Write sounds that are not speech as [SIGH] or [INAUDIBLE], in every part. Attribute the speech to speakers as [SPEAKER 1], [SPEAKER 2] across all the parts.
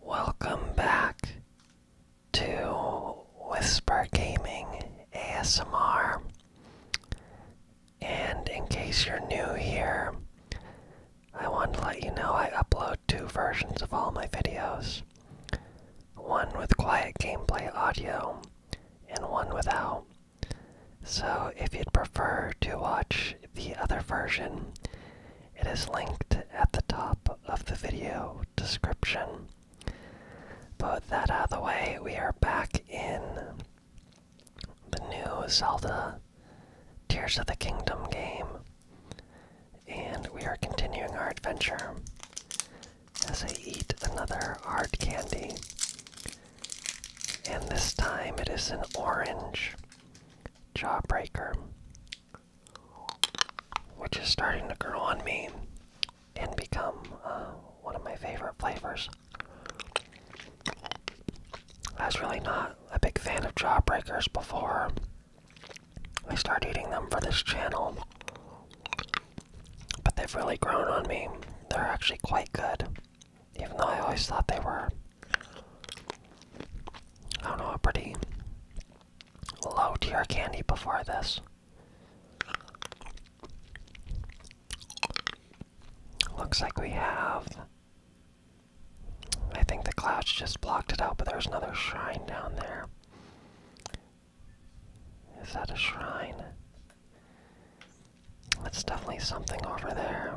[SPEAKER 1] Welcome back to Whisper Gaming ASMR. And in case you're new here, I want to let you know I upload two versions of all my videos one with quiet gameplay audio, and one without. So if you'd prefer to watch the other version, it is linked at the top of the video description. But that out of the way, we are back in the new Zelda Tears of the Kingdom game. And we are continuing our adventure as I eat another hard candy. And this time it is an orange. Jawbreaker, which is starting to grow on me and become uh, one of my favorite flavors. I was really not a big fan of Jawbreakers before I started eating them for this channel, but they've really grown on me. They're actually quite good, even though I always thought they were I don't know, how pretty low tier candy before this. Looks like we have. I think the clouds just blocked it out, but there's another shrine down there. Is that a shrine? That's definitely something over there.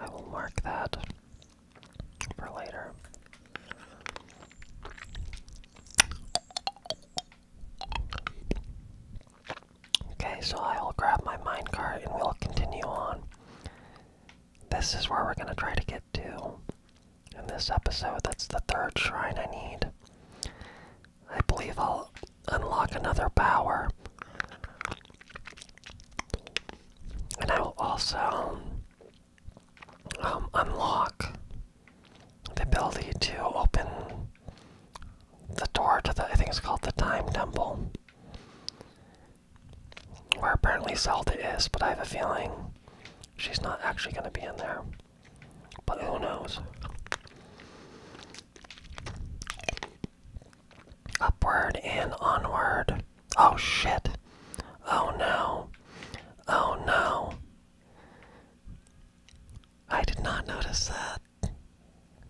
[SPEAKER 1] I will mark that for later. Okay, so I will grab my minecart and we'll continue on. This is where we're going to try to get to in this episode. That's the third shrine I need. I believe I'll unlock another power. And I will also um, unlock the ability to open the door to the, I think it's called the Time Temple. Where apparently Zelda is, but I have a feeling she's not actually going to be in there. But who knows? Upward and onward. Oh shit. Oh no. Oh no. I did not notice that.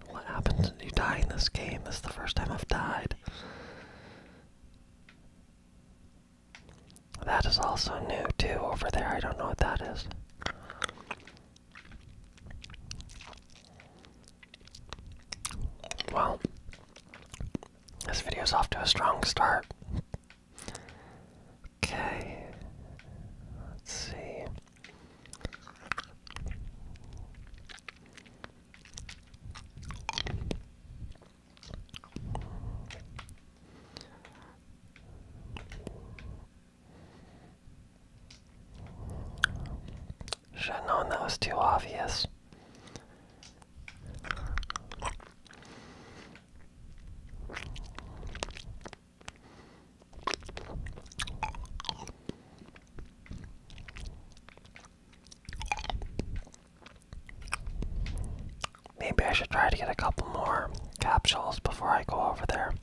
[SPEAKER 1] What happens when you die in this game? This is the first time I've died. That is also new too over there. I don't know what that is. Well, this video's off to a strong start. Okay, let's see. Should have known that was too obvious. Maybe I should try to get a couple more capsules before I go over there.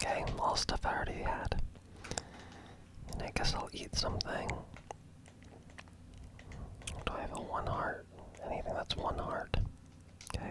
[SPEAKER 1] Okay, all stuff I already had. I guess I'll eat something. Do I have a one heart? Anything that's one heart. Okay.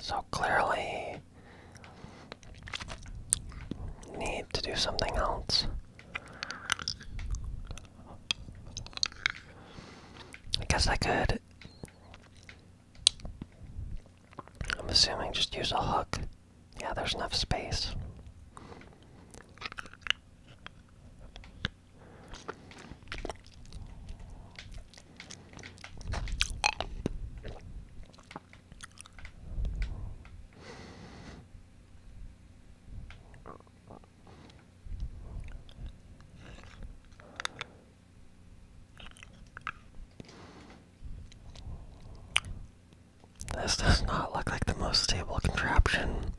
[SPEAKER 1] so clearly, need to do something else. I guess I could. I'm assuming just use a hook. Yeah, there's enough space. This does not look like the most stable contraption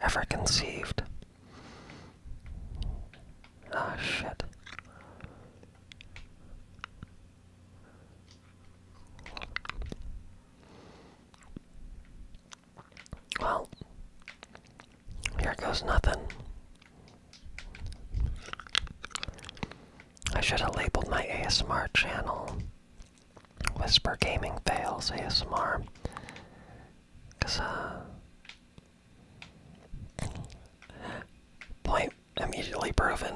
[SPEAKER 1] ever conceived. Ah, shit. Well, here goes nothing. I should have labeled my ASMR channel Whisper Gaming Fails ASMR. Because, uh, Point immediately proven.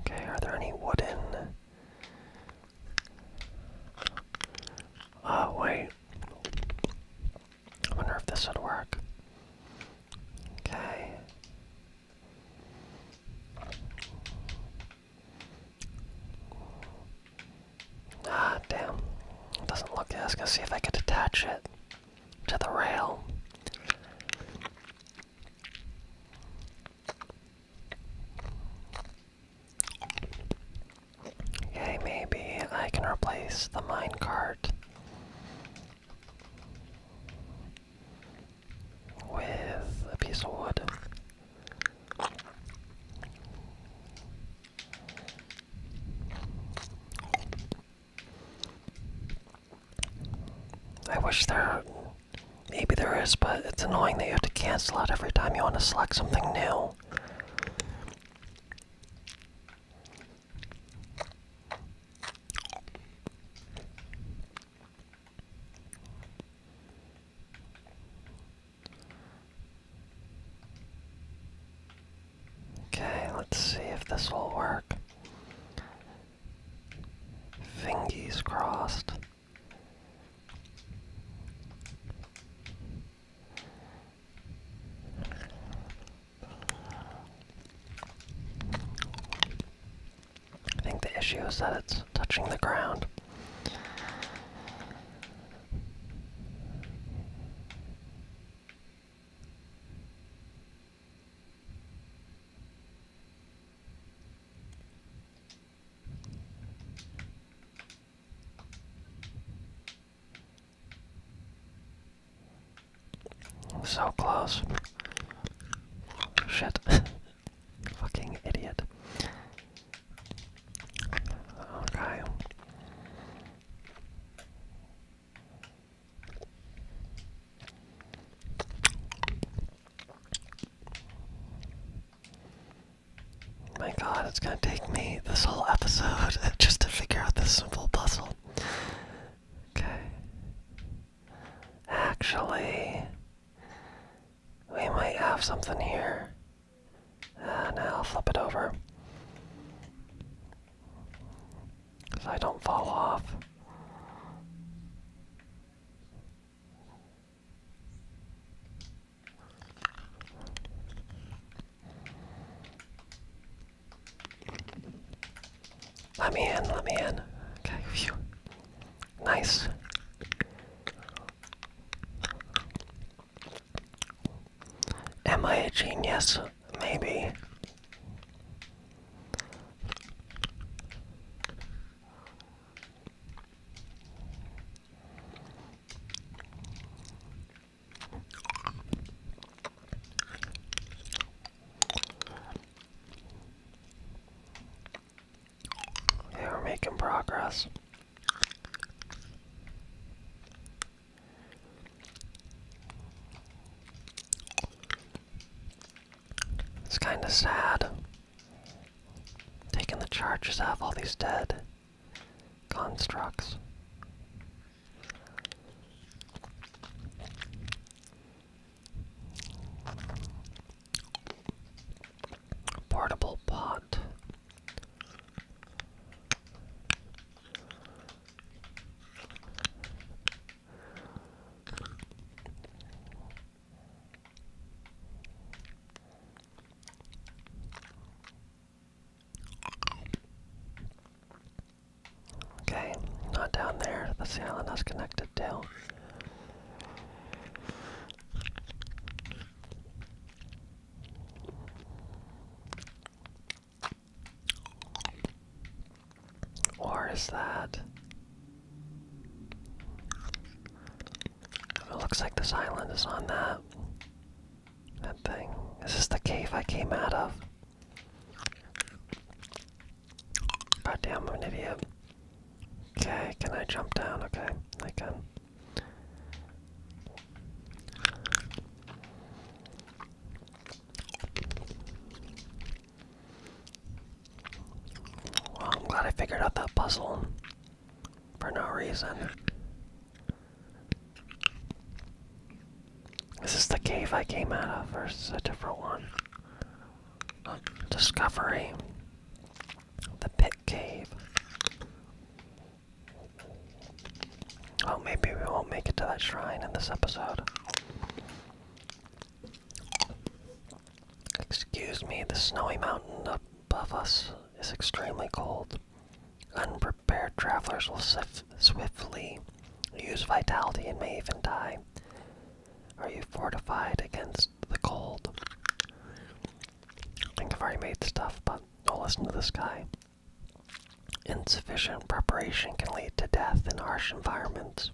[SPEAKER 1] Okay, are there any wooden? Oh, wait. I wonder if this would work. Okay. Ah, damn. It doesn't look good. I was gonna see if I can attach it to the rail. Okay, maybe I can replace the minecart with a piece of wood. I wish there maybe there is, but it's annoying that you have to cancel out every time you want to select something new. Okay, let's see if this will work. Fingies crossed. I think the issue is that it's touching the ground. So close. Shit. [LAUGHS] Fucking idiot. Okay. My god, it's gonna take me this whole episode [LAUGHS] just to figure out this simple puzzle. Okay. Actually, we might have something here. And I'll flip it over. So I don't fall off. Let me in, let me in. Okay, Nice. Am I a genius? Maybe. Yeah, we're making progress. It's kind of sad. Taking the charges off all these dead constructs. Portable pot. Okay, not down there. the island that's connected to. Or is that? It looks like this island is on that. That thing. Is this the cave I came out of? damn, I'm Okay, can I jump down? Okay, I can. I'm glad I figured out that puzzle for no reason. Is this the cave I came out of, or is this a different one? discovery, the pit cave. Oh, maybe we won't make it to that shrine in this episode. Excuse me, the snowy mountain above us is extremely cold. Unprepared travelers will swiftly use vitality and may even die. Are you fortified against the cold. I think I've already made stuff, but don't listen to this guy. Insufficient preparation can lead to death in harsh environments.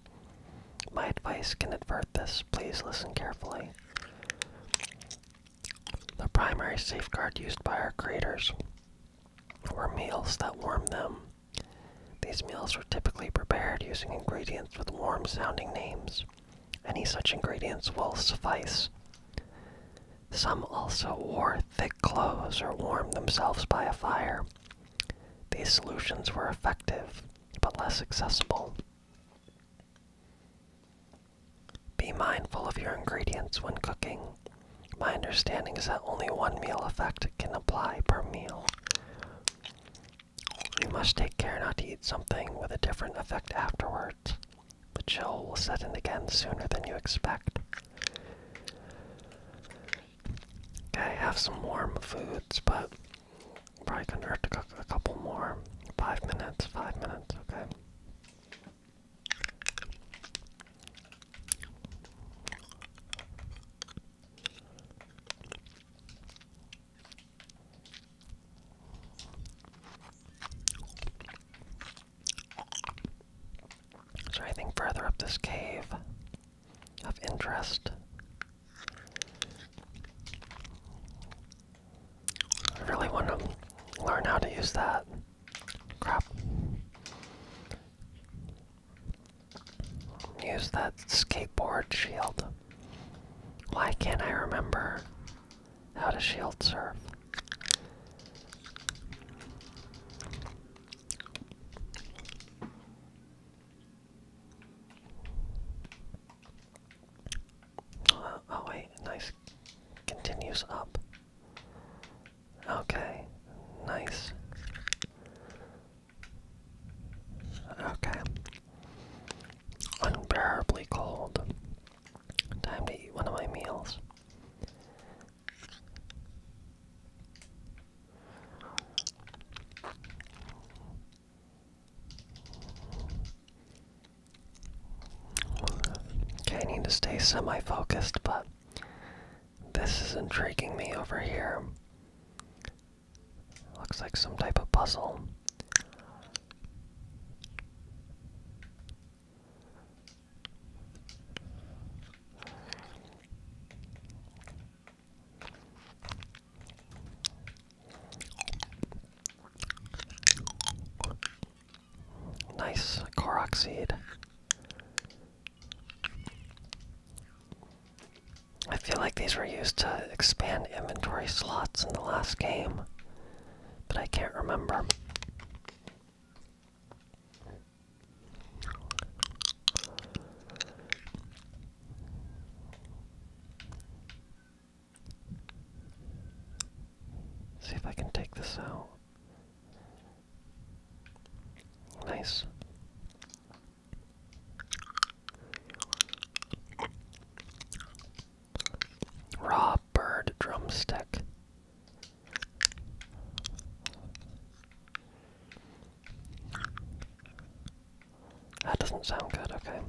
[SPEAKER 1] My advice can avert this. Please listen carefully. The primary safeguard used by our creators were meals that warm them these meals were typically prepared using ingredients with warm sounding names. Any such ingredients will suffice. Some also wore thick clothes or warmed themselves by a fire. These solutions were effective, but less accessible. Be mindful of your ingredients when cooking. My understanding is that only one meal effect can apply per meal. You must take care not to eat something with a different effect afterwards. The chill will set in again sooner than you expect. Okay, have some warm foods, but probably gonna have to cook a couple more. Five minutes, five minutes, okay. So there anything further up this cave of interest? I really want to learn how to use that. Crap. Use that skateboard shield. Why can't I remember how to shield surf? Uh, oh wait, nice. Continues up. Okay, nice. Okay. Unbearably cold. Time to eat one of my meals. Okay, I need to stay semi focused, but this is intriguing me over here. Looks like some type of puzzle. Nice Korok I feel like these were used to expand inventory slots in the last game, but I can't remember. See if I can take this out. Nice. Raw bird drumstick. That doesn't sound good, okay.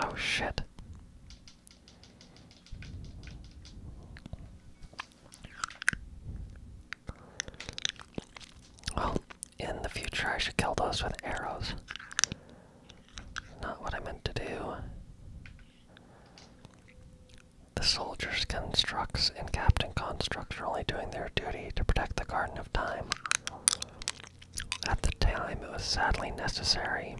[SPEAKER 1] Oh shit. Well, in the future, I should kill those with arrows. Not what I meant to do. The soldiers, constructs, and captain constructs are only doing their duty to protect the Garden of Time. At the time, it was sadly necessary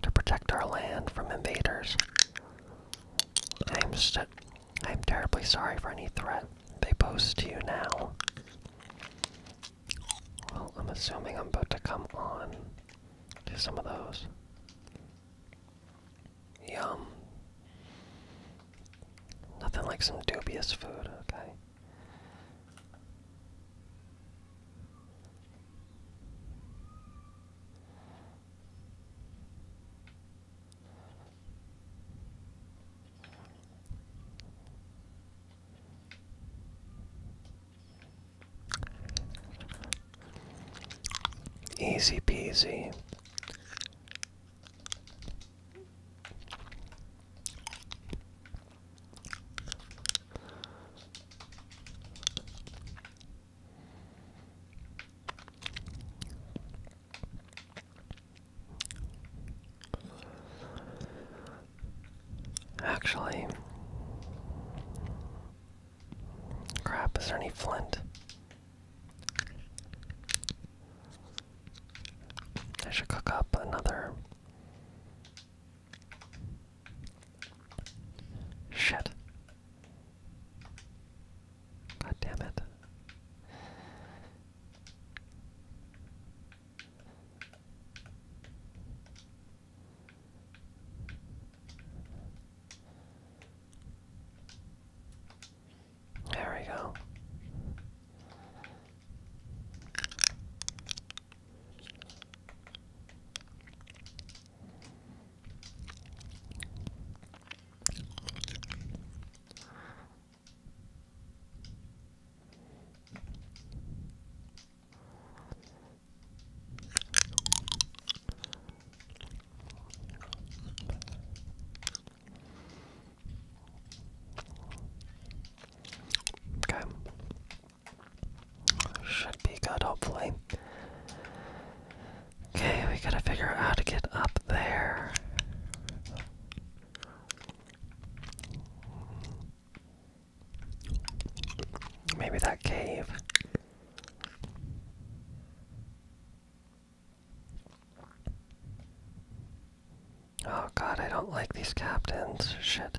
[SPEAKER 1] to protect our land from invaders. I am, st I am terribly sorry for any threat they post to you now. Well, I'm assuming I'm about to come on to some of those. Yum. Nothing like some dubious food, okay? Easy peasy. Actually, crap, is there any flint? I should cook up another. Shit. God damn it. There we go. Okay. Should be good, hopefully. Okay, we gotta figure out how to get up there. Maybe that cave. Oh god, I don't like these captains. Shit.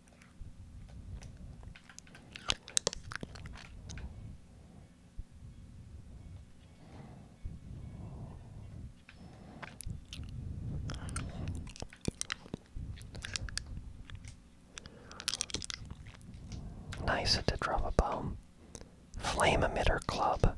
[SPEAKER 1] Nice to drop a bomb. Flame emitter club.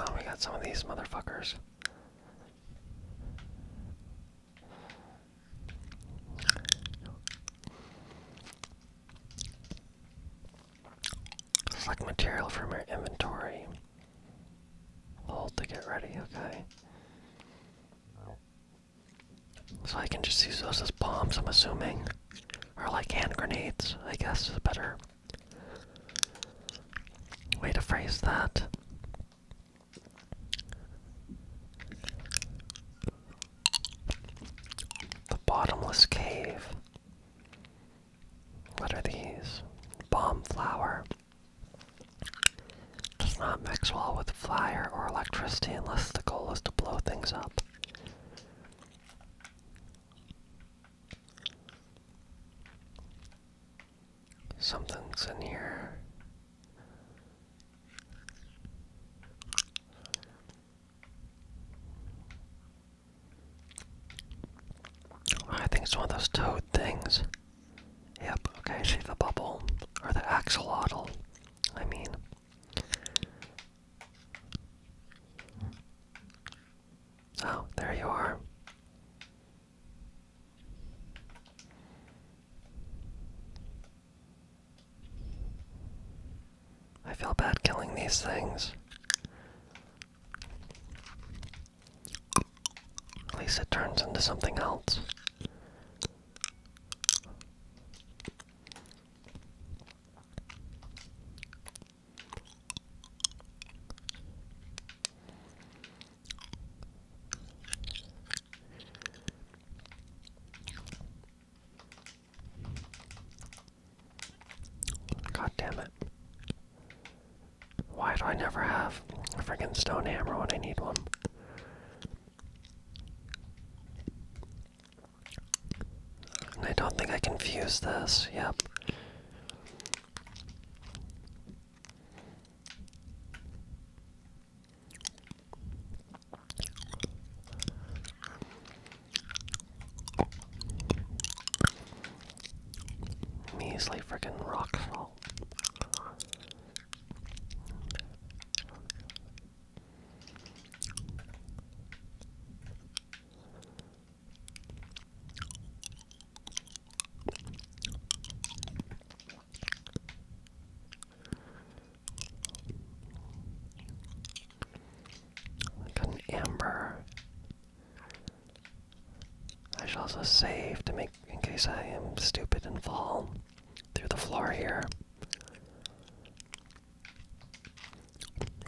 [SPEAKER 1] Oh, we got some of these motherfuckers. Select material from your inventory. Hold to get ready, okay. So I can just use those as bombs, I'm assuming. Or like hand grenades, I guess is a better way to phrase that. The bottomless cave. What are these? Bomb flower. Does not mix well with fire or electricity unless the goal is to blow things up. Something's in here. I think it's one of those toad things. Yep, okay, see the bubble. Or the axolotl, I mean. Oh, there you are. I feel bad killing these things. At least it turns into something else. God damn it. Why do I never have a freaking stone hammer when I need one? I don't think I confuse this. Yep. Measly freaking rock salt. Got an amber. I should also save to make in case I am stupid and fall through the floor here.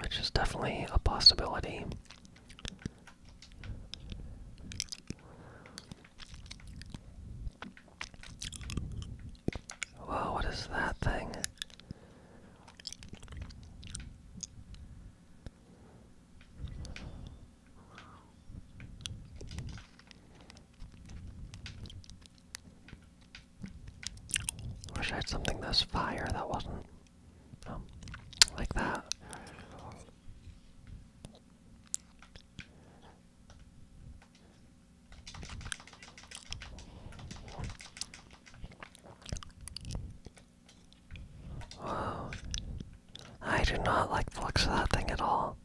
[SPEAKER 1] Which is definitely a possibility. Whoa, what is that thing? Wish I had something this fire that wasn't um, like that. Wow. I do not like the looks of that thing at all.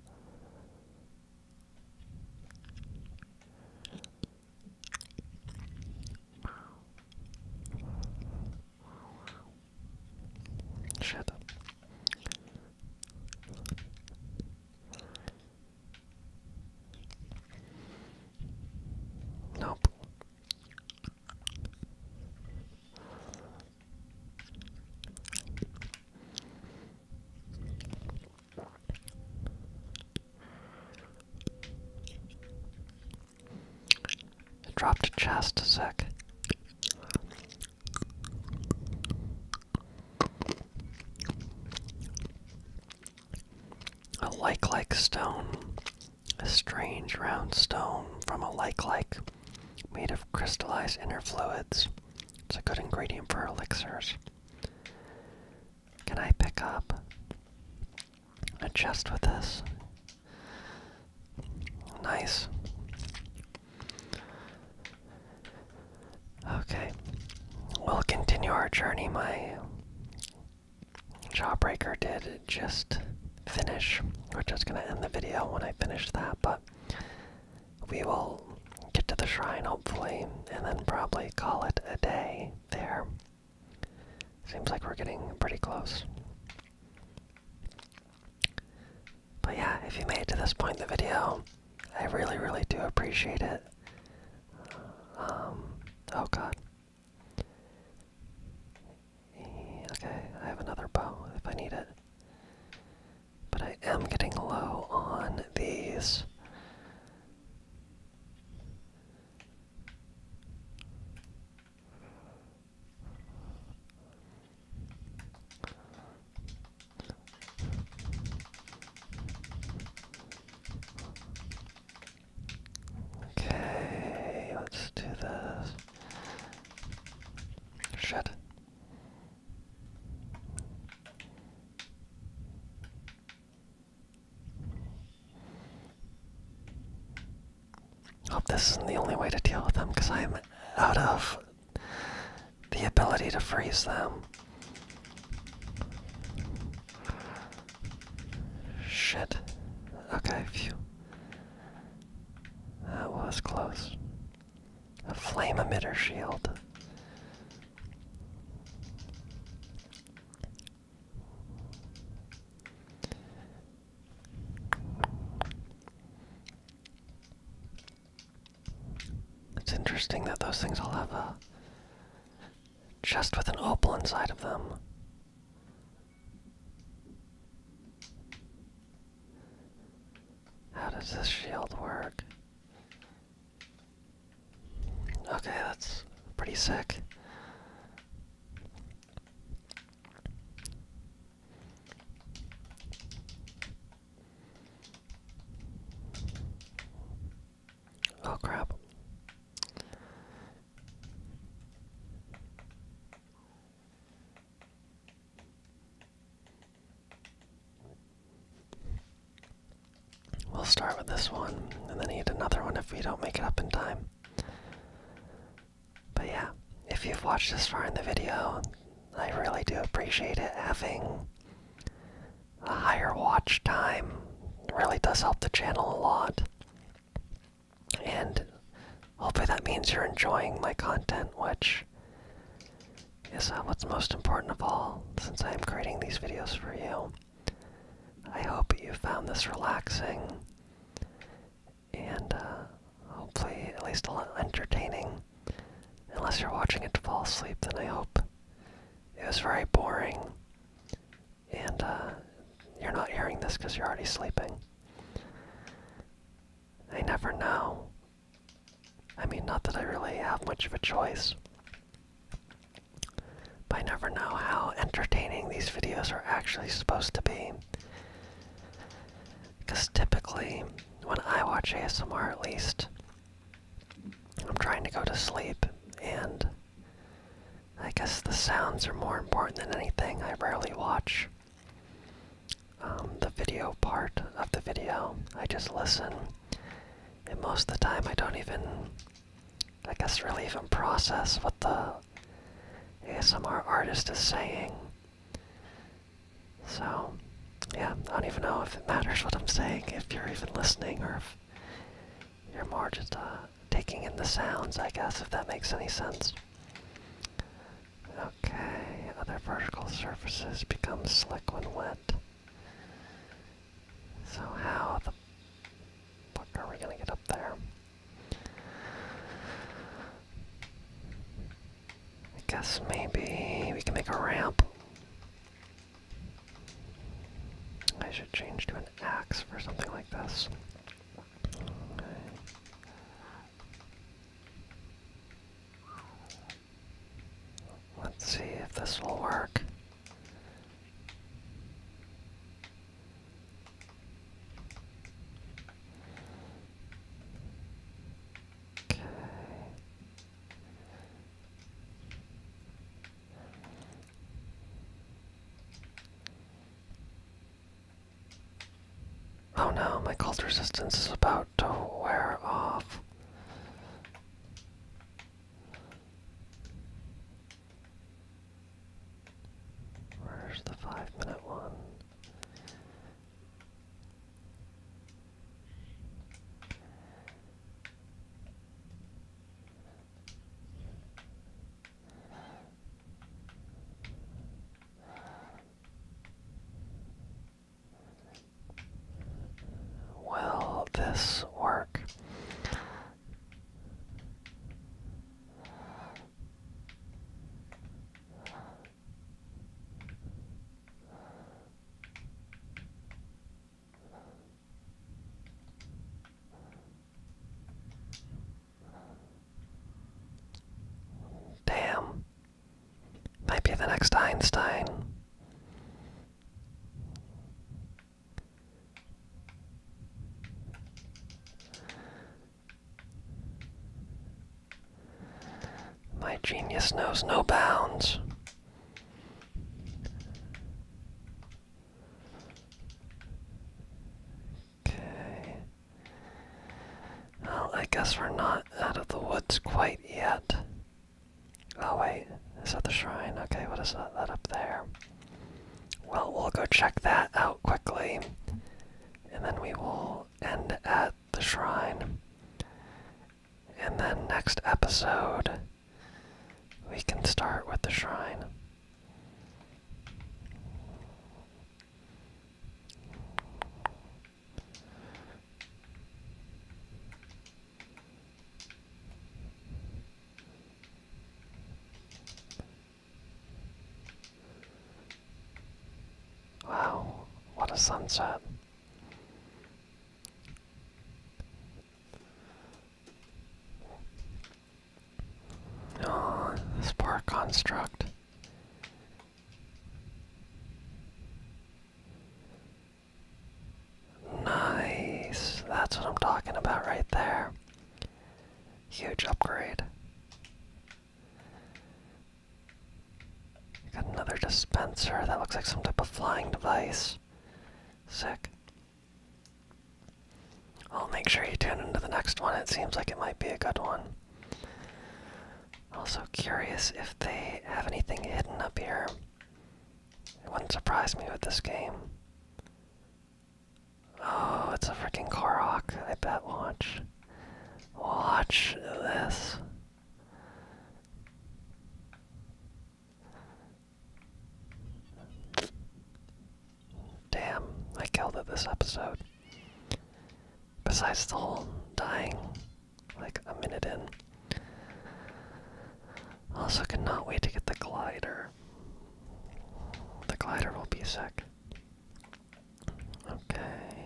[SPEAKER 1] Shit. Nope dropped a chest a sec. A like like stone. A strange round stone from a like like made of crystallized inner fluids. It's a good ingredient for elixirs. Can I pick up a chest with this? Nice. Okay. We'll continue our journey. My jawbreaker did just finish. We're just going to end the video when I finish that, but we will get to the shrine hopefully, and then probably call it a day there. Seems like we're getting pretty close. But yeah, if you made it to this point in the video, I really, really do appreciate it. Um, oh god. Okay, I have another bow if I need it. But I am getting low on these. Okay, let's do this. Shit. Hope this isn't the only way to deal with them because I'm out of the ability to freeze them. Shit. Okay, view. That was close. A flame emitter shield. It's interesting that those things all have a chest with an opal inside of them. How does this shield work? Okay, that's pretty sick. Oh crap. We'll start with this one and then need another one if we don't make it up in time. But yeah, if you've watched this far in the video, I really do appreciate it. Having a higher watch time really does help the channel a lot. And hopefully that means you're enjoying my content, which is uh, what's most important of all since I am creating these videos for you. I hope you found this relaxing and uh, hopefully at least a little entertaining. Unless you're watching it to fall asleep, then I hope it was very boring and uh, you're not hearing this because you're already sleeping. I never know I mean, not that I really have much of a choice. But I never know how entertaining these videos are actually supposed to be. Because typically, when I watch ASMR at least, I'm trying to go to sleep, and I guess the sounds are more important than anything. I rarely watch um, the video part of the video. I just listen, and most of the time I don't even, I guess, really even process what the ASMR artist is saying. So, yeah, I don't even know if it matters what I'm saying, if you're even listening, or if you're more just uh, taking in the sounds, I guess, if that makes any sense. Okay, other vertical surfaces become slick when wet. So how the fuck are we gonna get up there? I guess maybe we can make a ramp. I should change to an axe for something like this. Let's see if this will work. Okay. Oh no, my cold resistance is about to wear off. Where's the five minute one? Will this work? Damn, might be the next Einstein. My genius knows no bounds. Okay. Well, I guess we're not out of the woods quite yet. Oh wait, is that the shrine? Okay, what is that, up there? Well, we'll go check that out quickly. And then we will end at the shrine. And then next episode, we can start with the shrine. Wow, what a sunset. Oh, this poor construct. Nice. That's what I'm talking about right there. Huge upgrade. Got another dispenser. That looks like some type of flying device. Sick. I'll make sure you tune into the next one. It seems like it might be a good one. Also curious if they have anything hidden up here. It wouldn't surprise me with this game. Oh, it's a freaking Korok. I bet watch. Watch this. Damn, I killed it this episode. Besides the whole dying like a minute in. Also cannot wait to get the glider. The glider will be sick. Okay.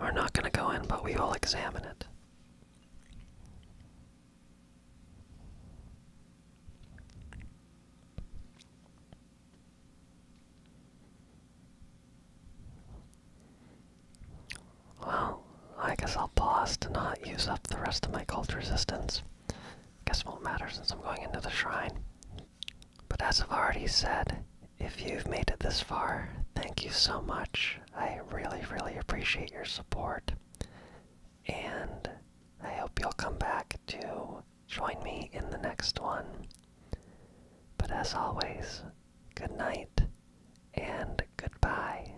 [SPEAKER 1] We're not going to go in, but we will examine it. Well, I guess I'll pause to not use up the rest of my cult resistance. Guess won't matter since I'm going into the shrine. But as I've already said, if you've made it this far, thank you so much. I really, really appreciate your support. And I hope you'll come back to join me in the next one. But as always, good night and goodbye.